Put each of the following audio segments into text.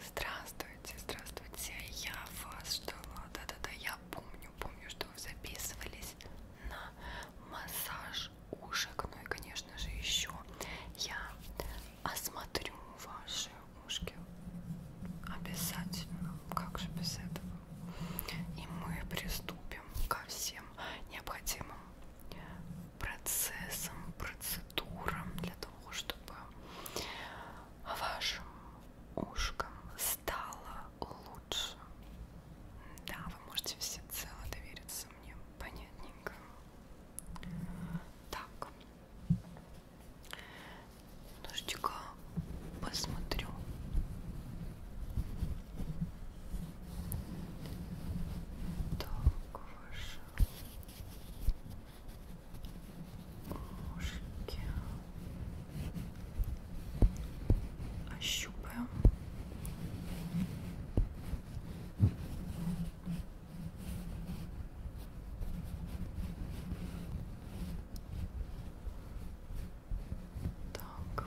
Здравствуйте, здравствуйте, я вас ждала, да-да-да, я помню, помню, что вы записывались на массаж ушек, ну и, конечно же, еще я осмотрю ваши ушки обязательно, как же без этого, и мы приступим ко всем необходимым процессам, процедурам для того, того, чтобы вашим ушкам стало лучше. Да, вы можете всецело довериться мне, понятненько. Так, немножечко посмотрю. Так, ваша Ножки. Ощупаем. Так.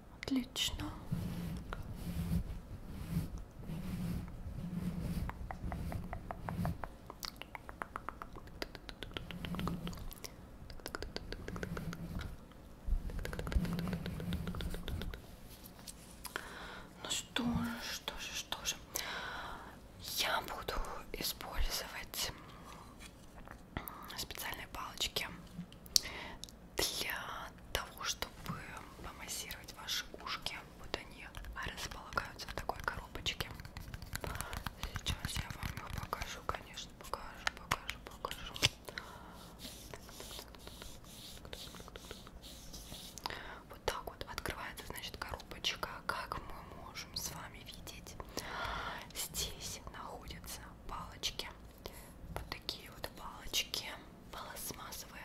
Отлично. Ну что же, что же, что же. Я буду использовать специальные палочки для того, чтобы помассировать ваши ушки. Вот они располагаются в такой коробочке. Сейчас я вам их покажу, конечно, покажу, покажу, покажу. Вот так вот открывается, значит, коробочка. Как мы можем с вами видеть, здесь находятся палочки вот такие вот палочки пластмассовые.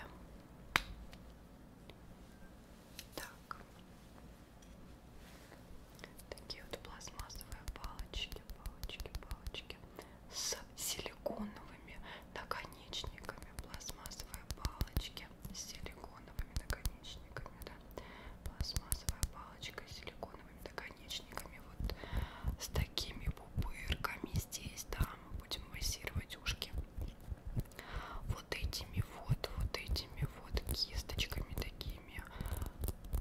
Так. Такие вот пластмассовые палочки, палочки, палочки с силиконовыми наконечниками. Пластмассовые палочки с силиконовыми наконечниками, да. Пластмассовая палочка с силиконовыми наконечниками наконечниками, вот с такими пупырками здесь, да, мы будем массировать ушки. Вот этими вот, вот этими вот кисточками такими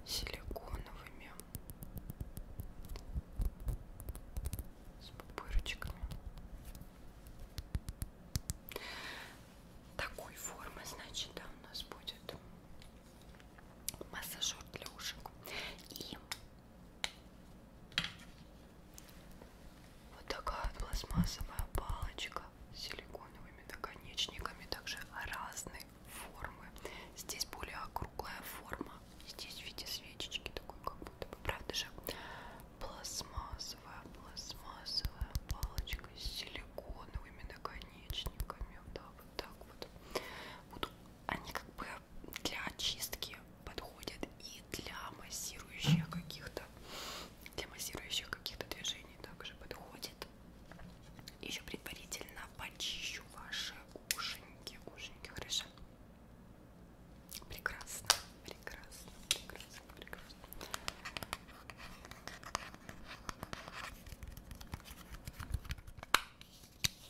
силиконовыми с пупырочками. Такой формы, значит, да, у нас будет массажер для ушек и вот такая пластмассовая палочка с силиконовыми наконечниками, также разные формы. Здесь более округлая форма, здесь в виде свечечки такой, как будто бы, правда же? Пластмассовая, пластмассовая палочка с силиконовыми наконечниками, да, вот так вот. Буду они как бы для очистки подходят и для массирующих каких-то для массирующих каких-то движений также подходит. Еще предварительно почищу ваши ушеньки, ушеньки, хорошо? Прекрасно, прекрасно, прекрасно, прекрасно.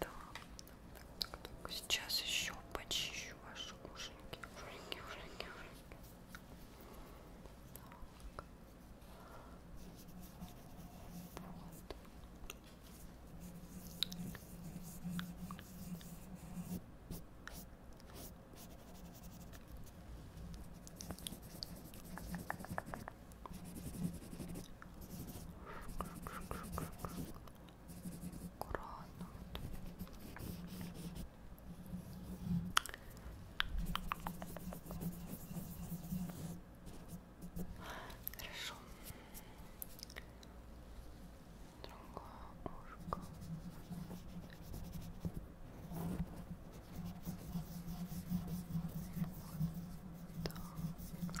Да. Так, так. Сейчас еще почищу ваши ушеньки. Ушеньки, ушеньки, ушеньки. Так. Вот. Гранат. Хорошо. Другое ушко. Вот так.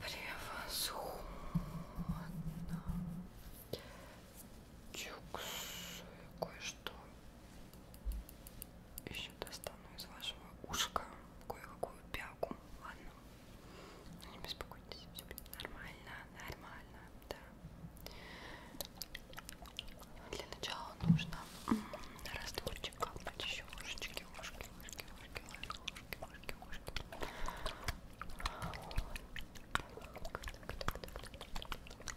Превосходно. Чуксую кое-что еще достану из вашего ушка кое-какую пяку. Ладно. Не беспокойтесь, все будет нормально, нормально, да. Для начала нужно растворчик капнуть еще ушечки, ушки, ушки, ушки, ушки, ушки, ушки, ушки. Так, так, так, так, так, так,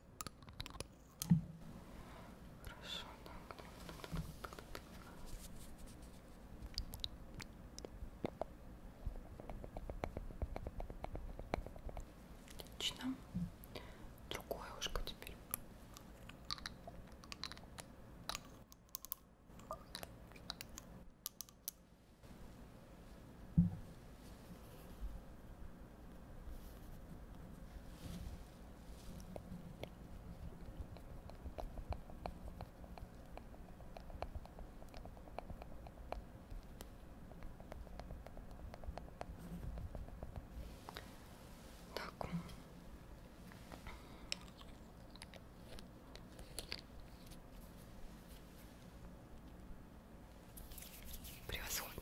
Хорошо, так. Отлично. Другое ушко теперь. Так. Превосходно.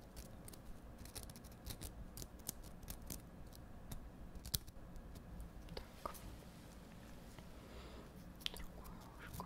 Так. Другое ушко.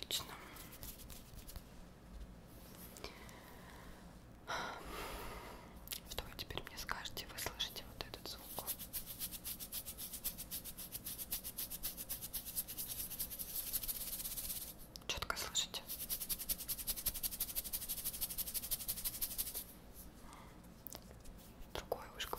Отлично. Что вы теперь мне скажете? Вы слышите вот этот звук? Четко слышите? Другое ушко.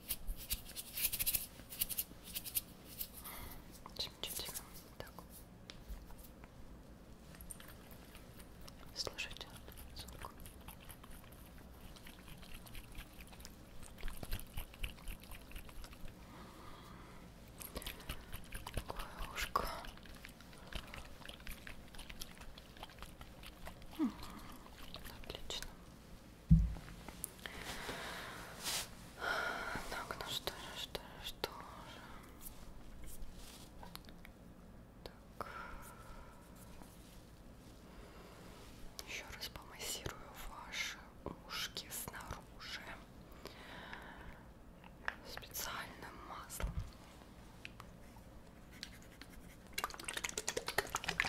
Чуть-чуть так. Слышите звук? Такое ушко. Отлично. Так, ну что же, что же, что же. Так. Еще раз помассирую ваши ушки снаружи специальным маслом.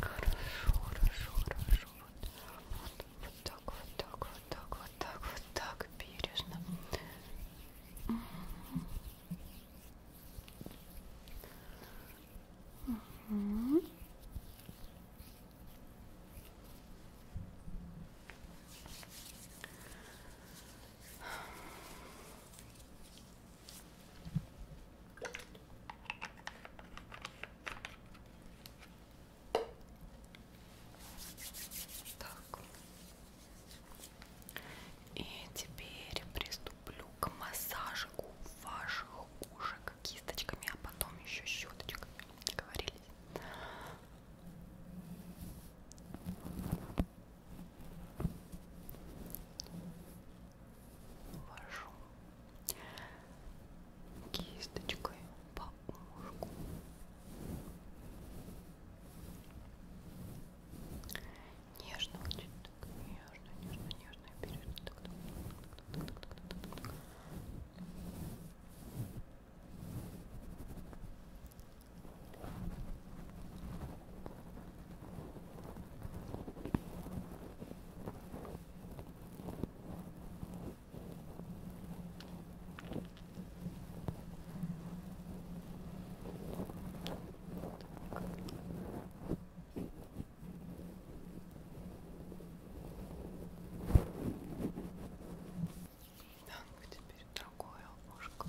Хорошо, хорошо, хорошо. Вот, вот так, вот так, вот так, вот так, вот так, бережно. Угу. Так. И теперь приступлю к массажику ваших ушек кисточками, а потом еще щеточками. Говорили вашу кисточкой по ушку нежно очень так нежно нежно нежно вперед так, так, так, так, так, так. Да, теперь другое ушко.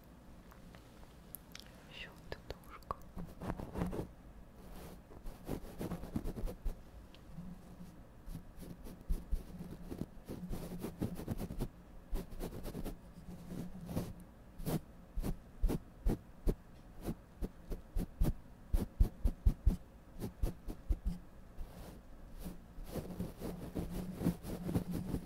щелкнушка Ой,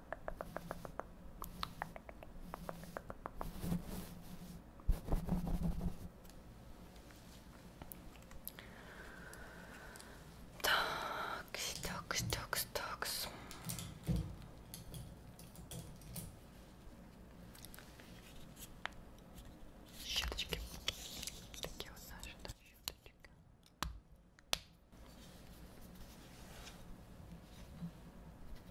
Так, так, так, так. Щеточки. Такие вот наши, да, щеточки.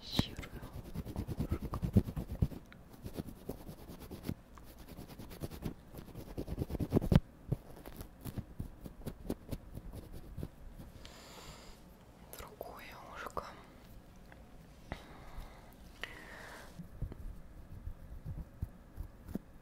Щирую кожку. Другое ушко.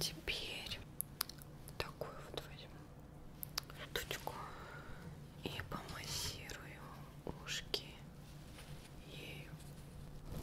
Теперь такую вот возьму тучку и помассирую ушки ею. Ой,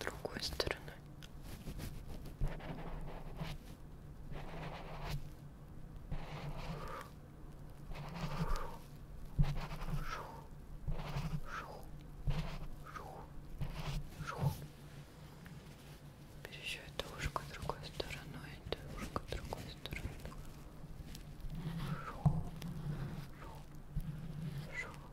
другой стороной. Шух, шух, шух, шух. Теперь еще это ушко другой стороной, это ушко другой стороной. Шух, шух, шух.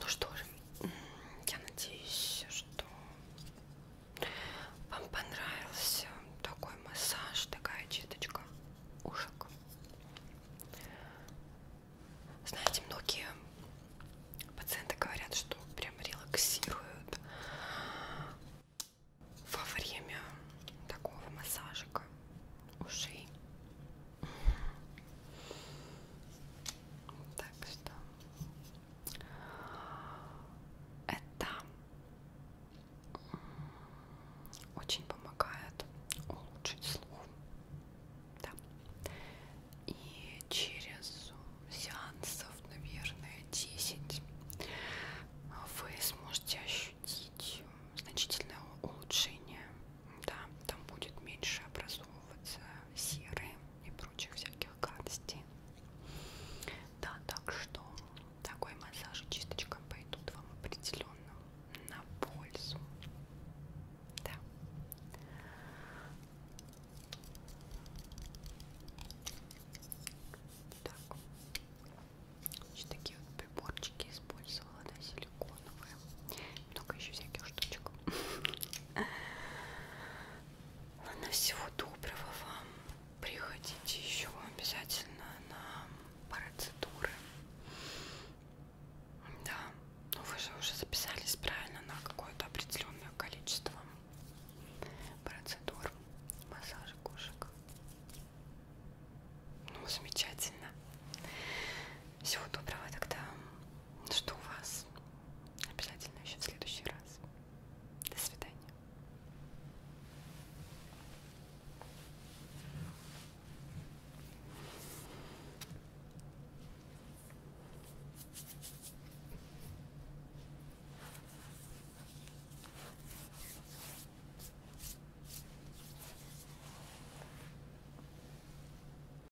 Ну что же, я надеюсь, что вам понравился такой массаж, такая читочка ушек. Знаете, многие пациенты говорят, что прям релаксируют во время такого массажика ушей. Так что это очень помогает улучшить слух. Да. И через сеансов, наверное, 10 вы сможете ощутить значительное улучшение да, там будет меньше образовываться серы и прочих всяких гадостей. Да, так что такой массаж и чисточка пойдут вам определенно на пользу. Да. Так. Значит, такие вот приборчики использовала, да, силиконовые много еще всяких штучек. Ладно, всего доброго вам. Приходите еще обязательно на процедуры. Да, ну вы же уже записались правильно на какое-то определенное количество процедур массажа кошек. Ну, замечательно. Всего доброго тогда. Жду вас. Обязательно еще в следующий раз. До свидания.